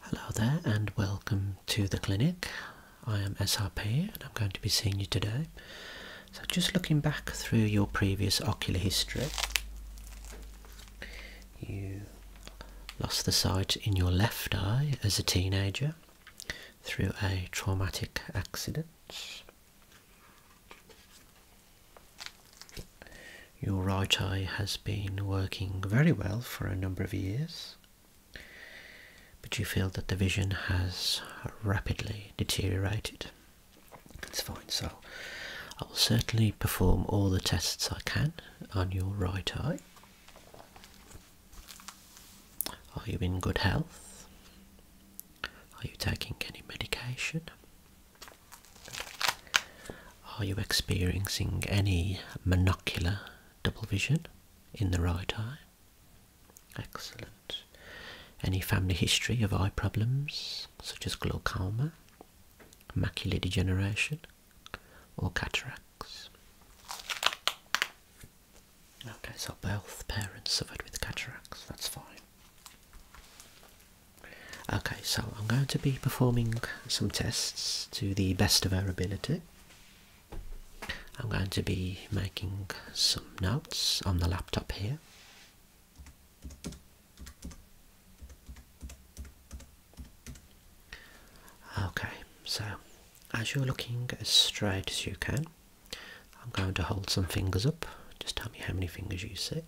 Hello there and welcome to the clinic. I am SRP and I'm going to be seeing you today. So just looking back through your previous ocular history, you lost the sight in your left eye as a teenager through a traumatic accident. Your right eye has been working very well for a number of years, but you feel that the vision has rapidly deteriorated. That's fine, so I will certainly perform all the tests I can on your right eye. Are you in good health? Are you taking any medication? Are you experiencing any monocular double vision in the right eye? Excellent. Any family history of eye problems such as glaucoma, macular degeneration, or cataracts? Okay, so both parents suffered with cataracts, that's fine. Okay, so I'm going to be performing some tests to the best of our ability. I'm going to be making some notes on the laptop here. Okay, so as you're looking as straight as you can, I'm going to hold some fingers up. Just tell me how many fingers you see.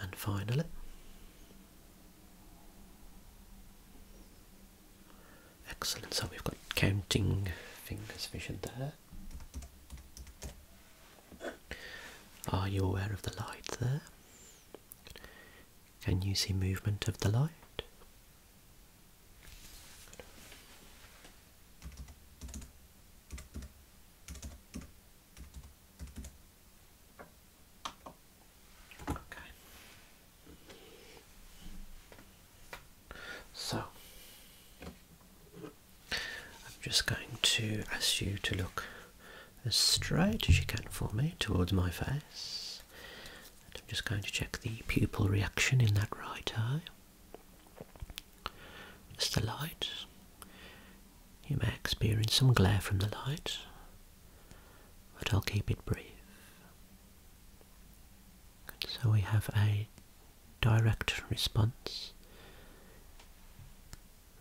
And finally, excellent. So we've got counting fingers vision there. Are you aware of the light there? Can you see movement of the light? Okay. So I'm just going to ask you to look as straight as you can for me towards my face. I'm just going to check the pupil reaction in that right eye. It's the light. You may experience some glare from the light, but I'll keep it brief. so we have a direct response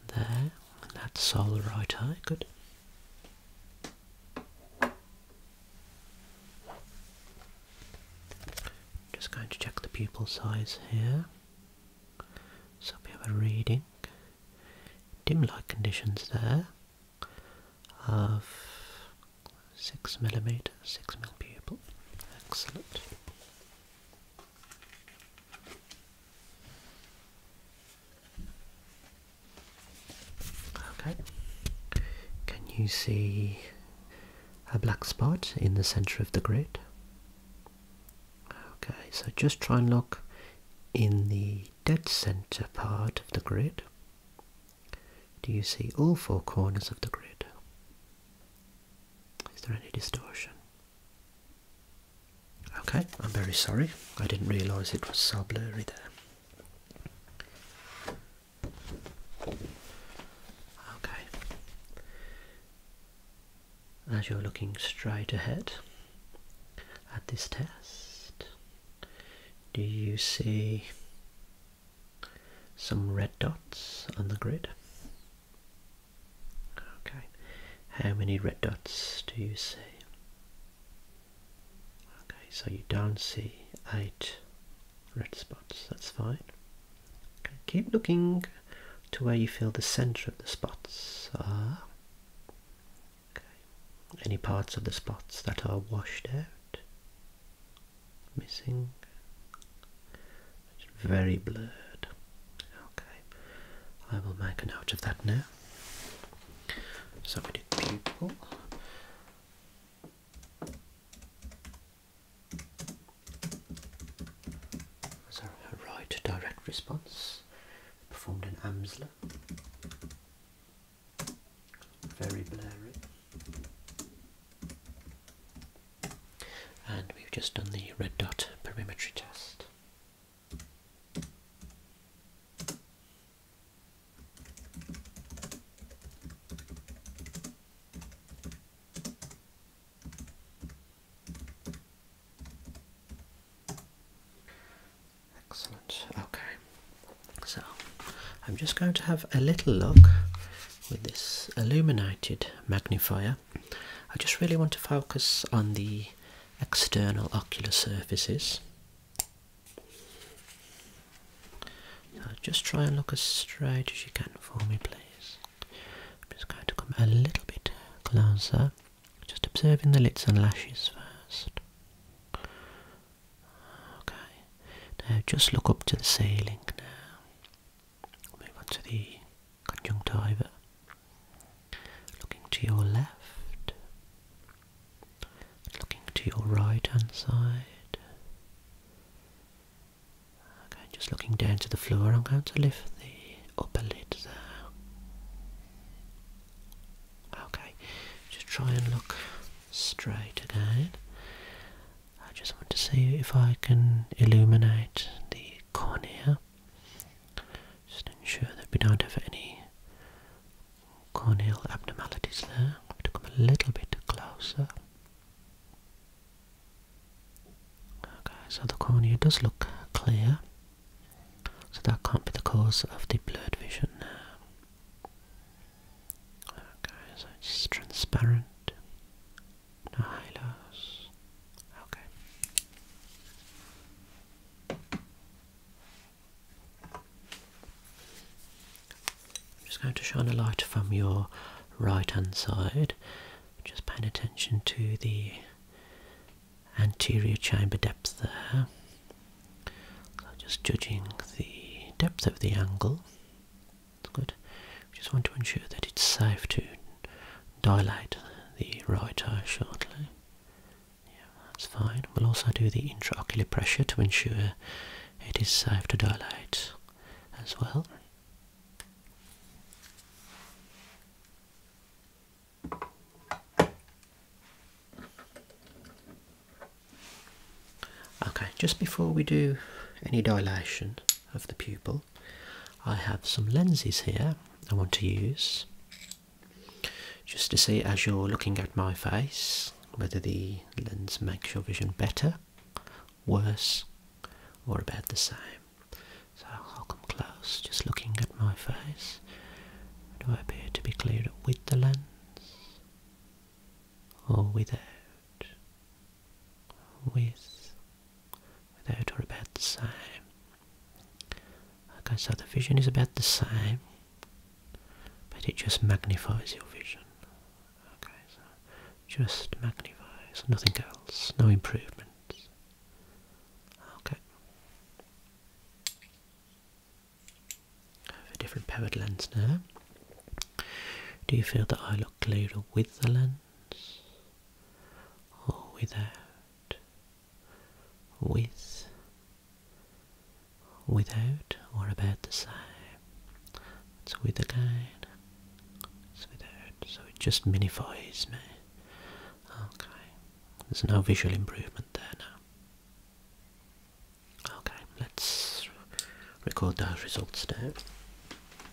there, that sole right eye, good. Just going to check the pupil size here. So we have a reading, dim light conditions there of 6 millimeter, 6 mil pupil. Excellent. Okay. Can you see a black spot in the center of the grid? Okay, so just try and look in the dead center part of the grid. Do you see all four corners of the grid? Is there any distortion? Okay, I'm very sorry. I didn't realise it was so blurry there. Okay. As you're looking straight ahead at this test, do you see some red dots on the grid? Okay, how many red dots do you see? Okay, so you don't see eight red spots, that's fine. Okay, keep looking to where you feel the centre of the spots are. Okay. Any parts of the spots that are washed out, missing. It's very blurred. Okay, I will make a note of that now. So we did pupil. As a right direct response, performed in Amsler. Very blurry and we've just done the red dot perimetry test. Excellent. Okay, so I'm just going to have a little look with this illuminated magnifier I just really want to focus on the external ocular surfaces. just try and look as straight as you can for me, please. I'm just going to come a little bit closer, just observing the lids and lashes first. Okay, now just look up to the ceiling now. Move on the Looking to your left, looking to your right hand side. Okay, just looking down to the floor, I'm going to lift the upper lid there. Okay, just try and look straight again. I just want to see if I can illuminate the cornea. Just ensure that we don't have any corneal abnormalities there. I have to come a little bit closer. Okay, so the cornea does look clear. So that can't be the cause of the blurred vision Okay, so it's transparent. Nihilus. Okay. I'm just going to shine a light from your right hand side. Just paying attention to the anterior chamber depth there. just judging the depth of the angle good. We just want to ensure that it's safe to dilate the right eye shortly. Yeah, that's fine. We'll also do the intraocular pressure to ensure it is safe to dilate as well. Okay, just before we do any dilation of the pupil, I have some lenses here I want to use just to see as you're looking at my face whether the lens makes your vision better, worse, or about the same. So I'll come close, just looking at my face. Do I appear to be clearer with the lens or without? with without or about the same. Okay, so the vision is about the same, but it just magnifies your vision. Okay, so just magnifies, nothing else, no improvements. Okay. I have a different powered lens now. Do you feel that I look clearer with the lens or without? With, without, or about the same? It's with again. It's without, so it just minifies me. Okay, there's no visual improvement there now. Okay, let's record those results now.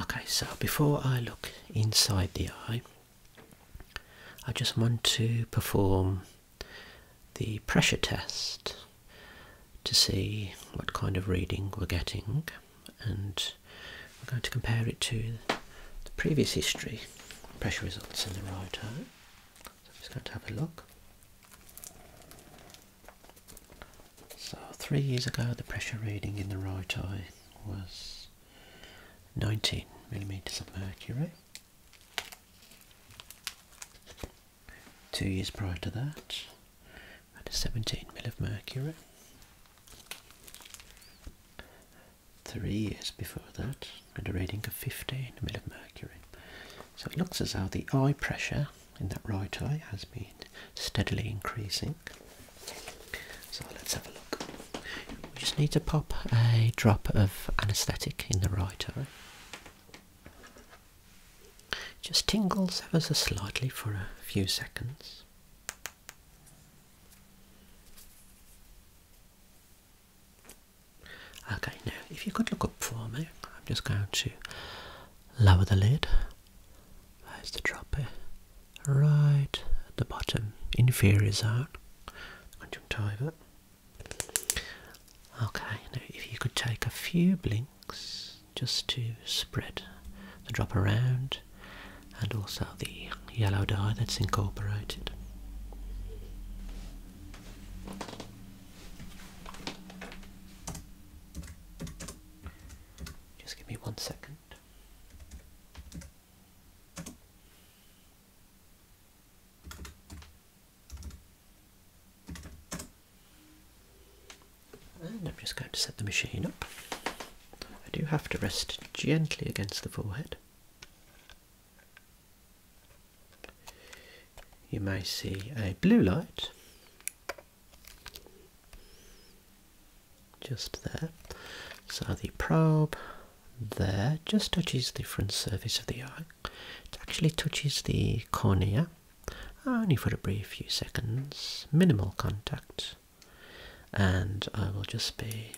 Okay, so before I look inside the eye, I just want to perform the pressure test to see what kind of reading we're getting and we're going to compare it to the previous history pressure results in the right eye. So I'm just going to have a look. So three years ago the pressure reading in the right eye was 19 millimeters of mercury. Two years prior to that, I had a 17 mil of mercury three years before that, had a reading of 15 mercury. So it looks as though the eye pressure in that right eye has been steadily increasing. So let's have a look. We just need to pop a drop of anaesthetic in the right eye. Just tingles ever so slightly for a few seconds. Okay, now if you could look up for me, I'm just going to lower the lid. There's the dropper, right at the bottom, inferior zone, that? Okay, now if you could take a few blinks just to spread the drop around and also the yellow dye that's incorporated. Just give me one second. And I'm just going to set the machine up. I do have to rest gently against the forehead. You may see a blue light just there. So the probe there just touches the front surface of the eye. It actually touches the cornea only for a brief few seconds, minimal contact and I will just be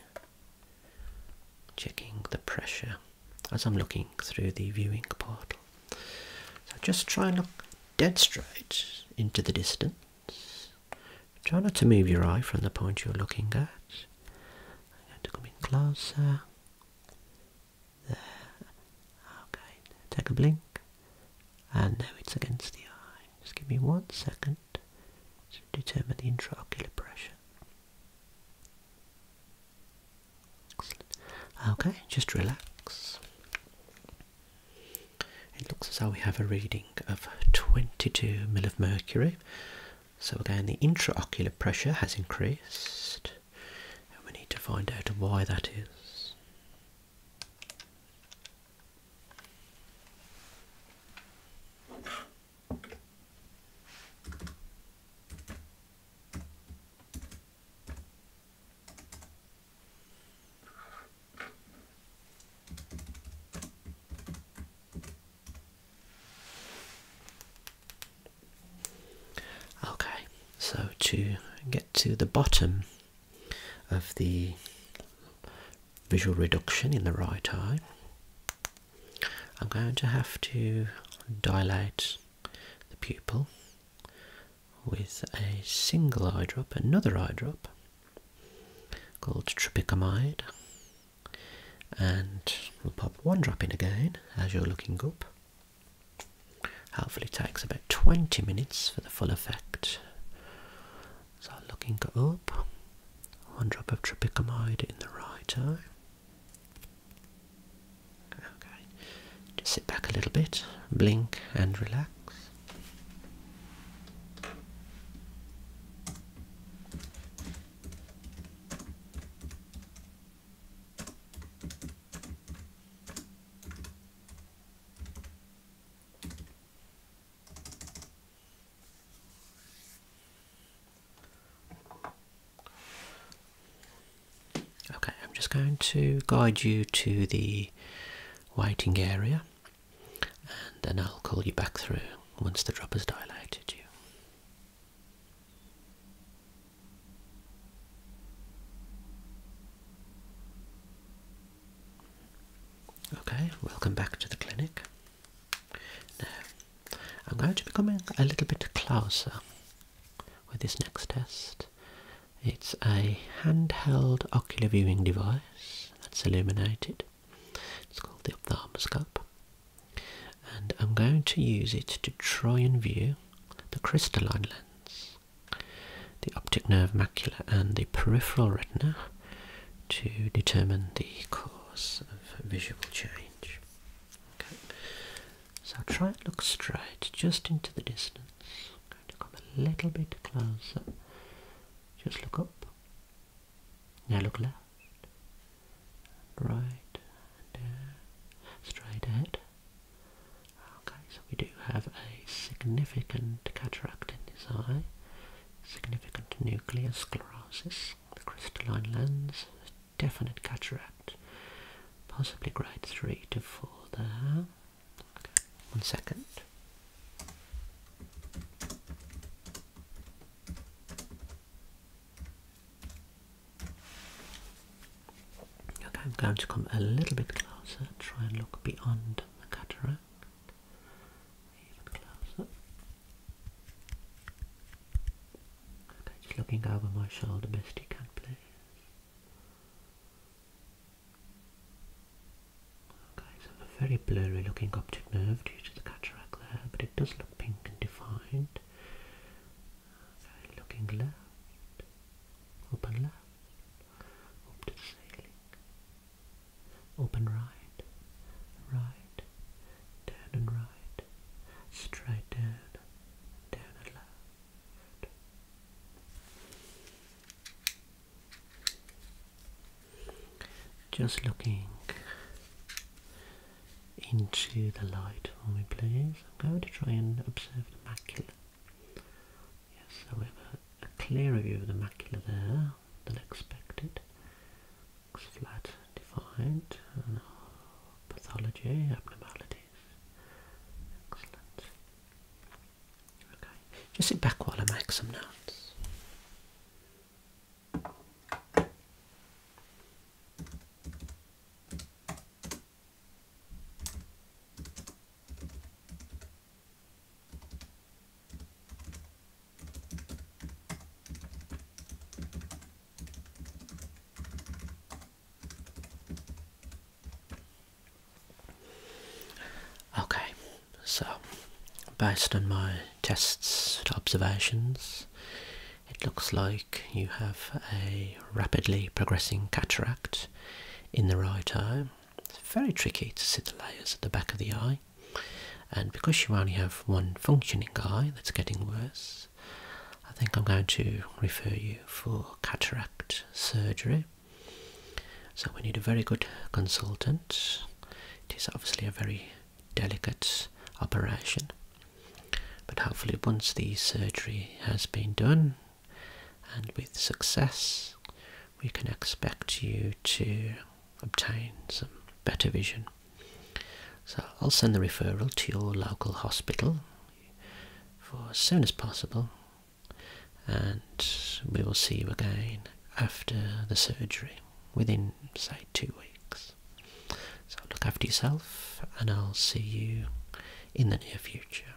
checking the pressure as I'm looking through the viewing portal. So just try and look dead straight into the distance. Try not to move your eye from the point you're looking at. I'm going to come in closer. There. Okay. Take a blink. And now it's against the eye. Just give me one second to determine the intraocular pressure. Okay, just relax. It looks as though we have a reading of 22 mill of mercury. So again, the intraocular pressure has increased, and we need to find out why that is. Okay, so to get to the bottom of the visual reduction in the right eye. I'm going to have to dilate the pupil with a single eye drop, another eye drop called tropicamide, and we'll pop one drop in again as you're looking up. Hopefully, it takes about 20 minutes for the full effect so looking up, one drop of tropicamide in the right eye. Okay, just sit back a little bit, blink and relax. Okay, I'm just going to guide you to the waiting area and then I'll call you back through once the drop has dilated you. Okay, welcome back to the clinic. Now, I'm going to be coming a little bit closer with this next test. It's a handheld ocular viewing device that's illuminated. It's called the ophthalmoscope. And I'm going to use it to try and view the crystalline lens, the optic nerve macula and the peripheral retina to determine the cause of visual change. So try and look straight just into the distance. going to come a little bit closer. Just look up. Now look left, right, down, uh, straight ahead. Okay, so we do have a significant cataract in this eye significant nuclear sclerosis, the crystalline lens, definite cataract, possibly grade 3 to 4 there. One second. Okay, I'm going to come a little bit closer, try and look beyond the cataract. Even closer. Okay, just looking over my shoulder, best you can, please. Okay, so a very blurry looking optic nerve due to the cataract there, but it does look pink and defined. Okay, looking left, up left, up the ceiling. Open right, right, down and right, straight down, down and left. Just looking into the light for me please. I'm going to try and observe the macula Yes, so we have a, clearer view of the macula there than expected. Looks flat, defined, and pathology, abnormalities. Excellent. Okay, just sit back while I make some notes. Okay, so based on my tests and observations, it looks like you have a rapidly progressing cataract in the right eye. It's very tricky to see the layers at the back of the eye, and because you only have one functioning eye that's getting worse, I think I'm going to refer you for cataract surgery. So, we need a very good consultant. It is obviously a very delicate operation, but hopefully, once the surgery has been done and with success, we can expect you to obtain some better vision. So I'll send the referral to your local hospital for as soon as possible and we will see you again after the surgery within say two weeks. So look after yourself and I'll see you in the near future.